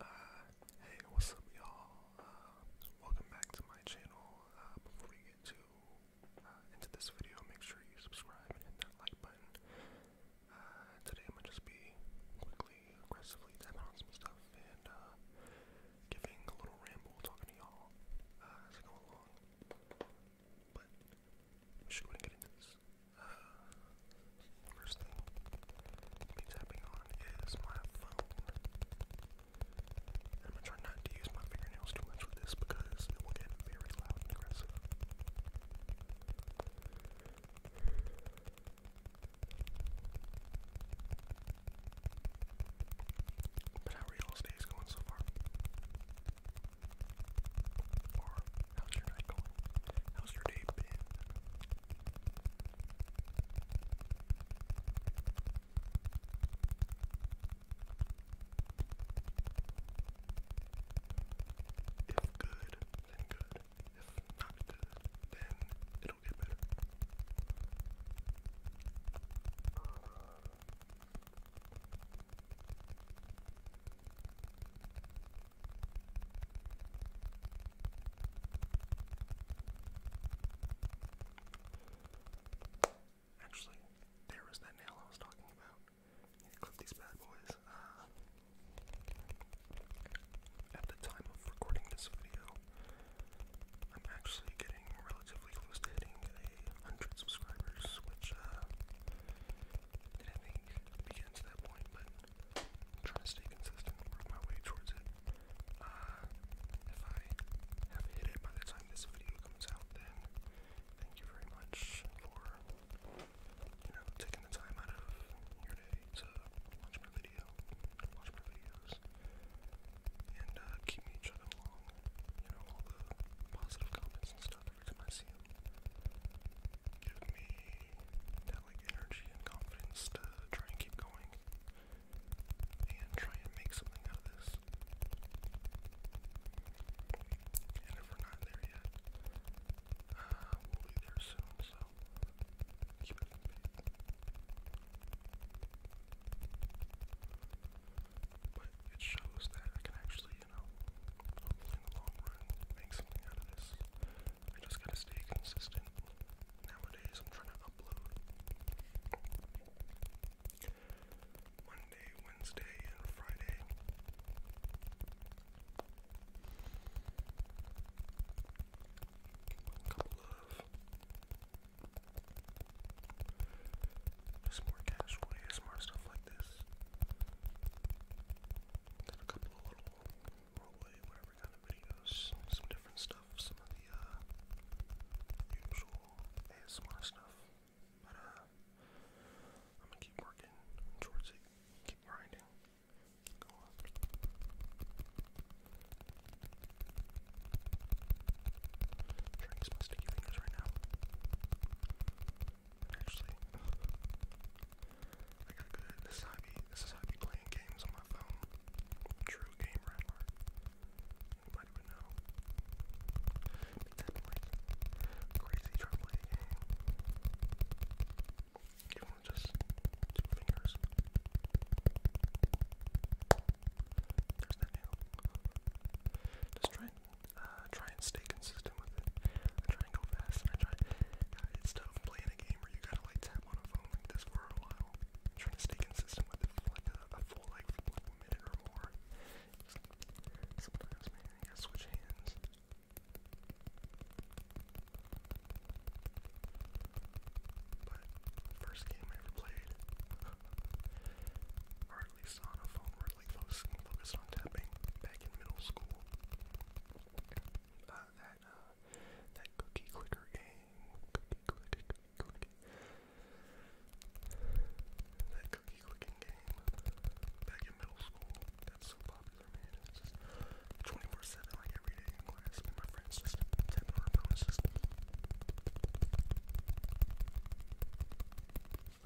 Uh, hey, what's up, y'all? Uh, welcome back to my channel. Uh, before we get uh, into this video, make sure you subscribe and hit that like button. today, I'm gonna just be quickly, aggressively tapping on some stuff and giving a little ramble, talking to y'all as I go along. But we should go and get into this. Uh, first thing I'll tapping on is my phone. I'm gonna try not to use my fingernails too much with this because it will get very loud and aggressive. But how are y'all's days going so far? How's your night going? How's your day been? If good, then good. If not good, then it'll get better. Actually, there was that nail I was talking about. clip these bad boys. Uh, at the time of recording this video, I'm actually getting relatively close to hitting a hundred subscribers, which uh, didn't think begins at that point, but trying to stay consistent, work my way towards it. Uh, if I have hit it by the time this video comes out, then thank you very much for you know taking the time out of your day to watch my video, watch my videos, and uh, keep me chugging along. You know all the positive comments and stuff. Give me that like energy and confidence to try and keep going and try and make something out of this. And if we're not there yet, uh, we'll be there soon, so keep it in But it shows that I can actually you know, hopefully in the long run, make something out of this. I just gotta stay consistent. Nowadays, I'm trying to upload Monday, Wednesday, and Friday. A couple of just more casual ASMR stuff like this. Did a couple little rollway, whatever kind of videos, some different stuff, some of the uh, usual ASMR stuff. But uh, I'm gonna keep working towards it, keep grinding. Trying to use my fingers right now actually. I got good. This is how I be, playing games on my phone. True game rapper. Anybody would know. Exactly. crazy trying to play a game. You want just two fingers. There's that nail. Just try and uh, try and stay consistent with it. I try and go fast, and I try. Uh, it's tough playing a game where you gotta like tap on a phone like this for a while. I'm trying to stay consistent with it for like a, a full like, like a minute or more. Just, sometimes, man, you gotta switch hands. But first game I ever played, or at least on a phone where heavily focused, focused on tapping back in middle school. Uh, that uh, that cookie clicker game, cookie clicker, that cookie clicking game back in middle school. That's so popular, 24/7, like every day in class. my friends just tapping our opponents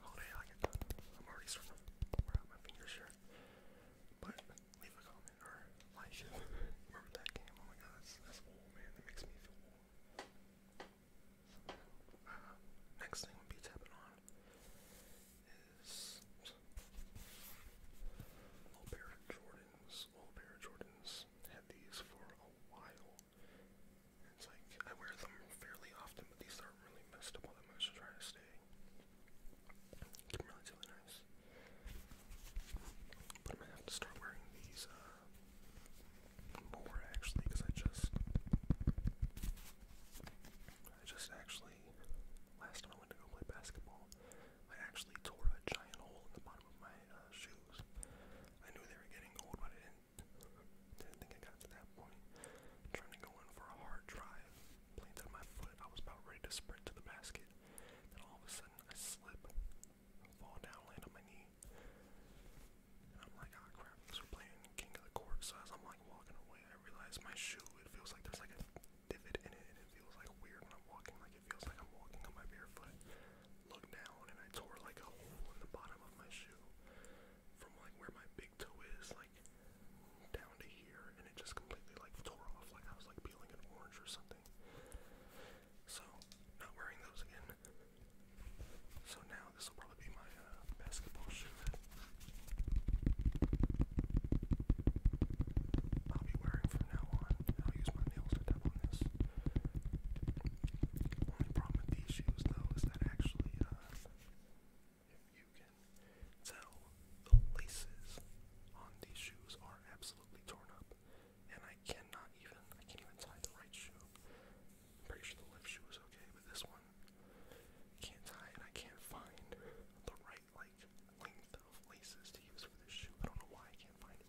all day. I can, I'm already sort of wear my fingers here. But leave a comment or like it. that game? Oh my god, that's, that's old, man. That makes me feel old. Uh, next thing we be tapping on is Old Bear Jordans. Old Bear Jordans had these for a while. It's like I wear them fairly often, but these aren't really messed up all that much. I try to stay relatively nice. But I'm gonna have to start wearing these uh, more actually, because I just, I just actually last time I went to go play basketball, I actually tore a giant hole in the bottom of my uh, shoes. I knew they were getting old, but I didn't didn't think I got to that point. trying to go in for a hard drive. Planted my foot. I was about ready to sprint to the basket. Then all of a sudden I slip, fall down, land on my knee. I'm like, oh, crap, we're playing King of the Court. So as I'm like walking away, I realize my shoe, it feels like there's like a divot in it and it feels like weird when I'm walking. Like it feels like I'm walking on my bare foot. Look down and I tore like a hole in the bottom of my shoe from like where my big toe is, like down to here, and it just completely like tore off, like I was like peeling an orange or something. So, not wearing those again. So now this will probably be my uh, basketball shoe that I'll be wearing from now on. I'll use my nails to tap on this. Only problem with these shoes though is that actually uh, if you can tell, the laces on these shoes are absolutely torn up, and I cannot even I can't even tie the right shoe. pretty sure the left shoe is okay, but this one can't tie, and I can't find the right like length of laces to use for this shoe. I don't know why I can't find it.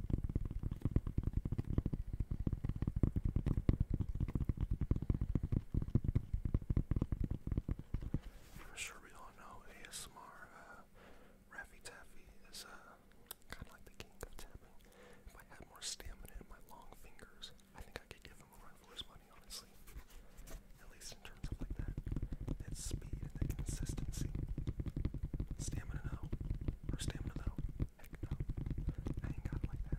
I'm sure we all know ASMR. Uh, Raffy is a uh, kind of like the king of tapping. If I had more stamina in my long fingers, I think I could give him a run for his money, honestly. At least in terms of like that. It's consistency. Stamina no. Or stamina no. Heck no. I ain't got it like that.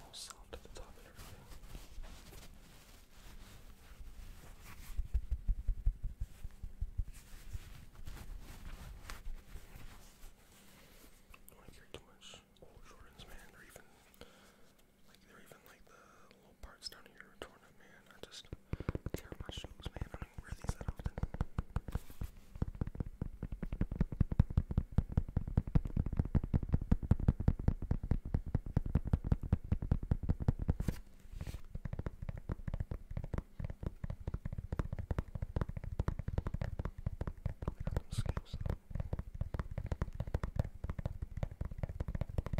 All soft at the top and everything. I don't want too much old Jordans, man, or even like they're even like the little parts down here torn up, man. I just these are my shoes, man. I don't wear these that often. Scales.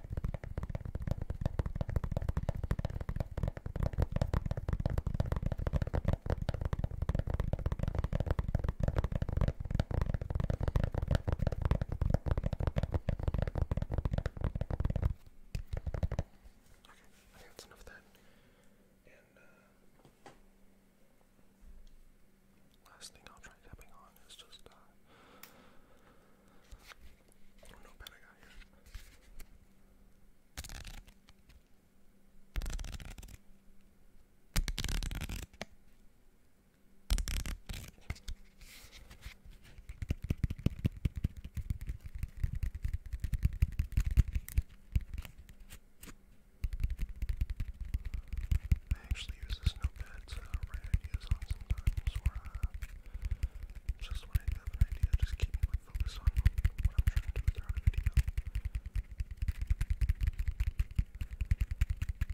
I think that's enough of that. And uh, last thing I'll try tapping on is just uh, I do actually use this notepad to write ideas on sometimes, uh, just when I have an idea, just keep me like, on what I'm trying to do throughout the video.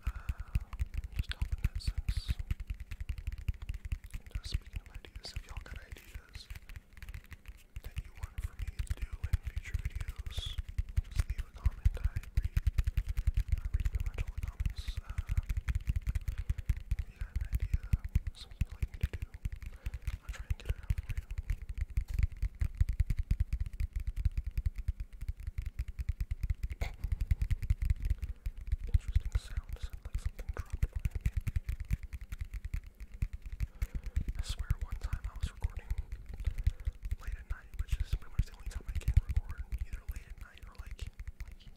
Uh, just help in that sense. speaking of ideas, if y'all got ideas that you want for me to do in future videos, just leave a comment. I read, I read pretty much all the comments. Uh, you got an idea, something you'd like me to do, I'll try and get it out for you. Interesting sound, sound like something dropped I swear one time I was recording late at night, which is pretty much the only time I can record, either late at night or like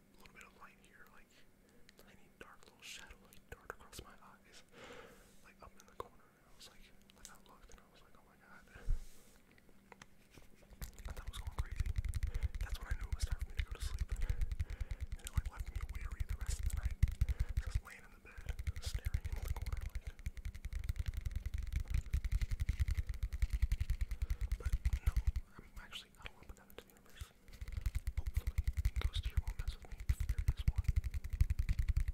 some little bit of light here, like tiny dark little shadow like dart across my eyes, like up in the corner. I was like, like I looked and I was like, oh my god. I was going crazy. That's when I knew it was time for me to go to sleep. it left me weary the rest of the night, just laying in the bed, staring into the corner like. But no, I'm actually I don't want to put that into the universe. Hopefully, Ghost here won't mess with me if there is one. All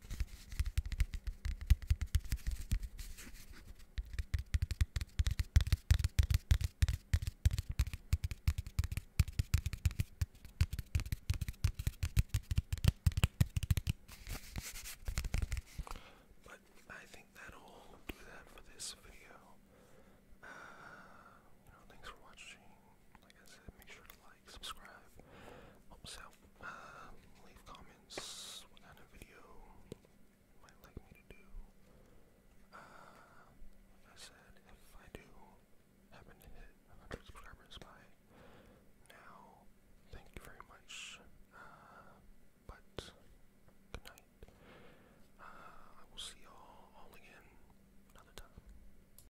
But I think that'll do that for this video. Uh, you know, thanks for watching like I said, make sure to like, subscribe, help us out, um, leave comments, what kind of video might like me to do. Um, I said, if I do happen to hit 100 subscribers by now, thank you very much. Uh, but good night. Uh, I will see y'all all again another time.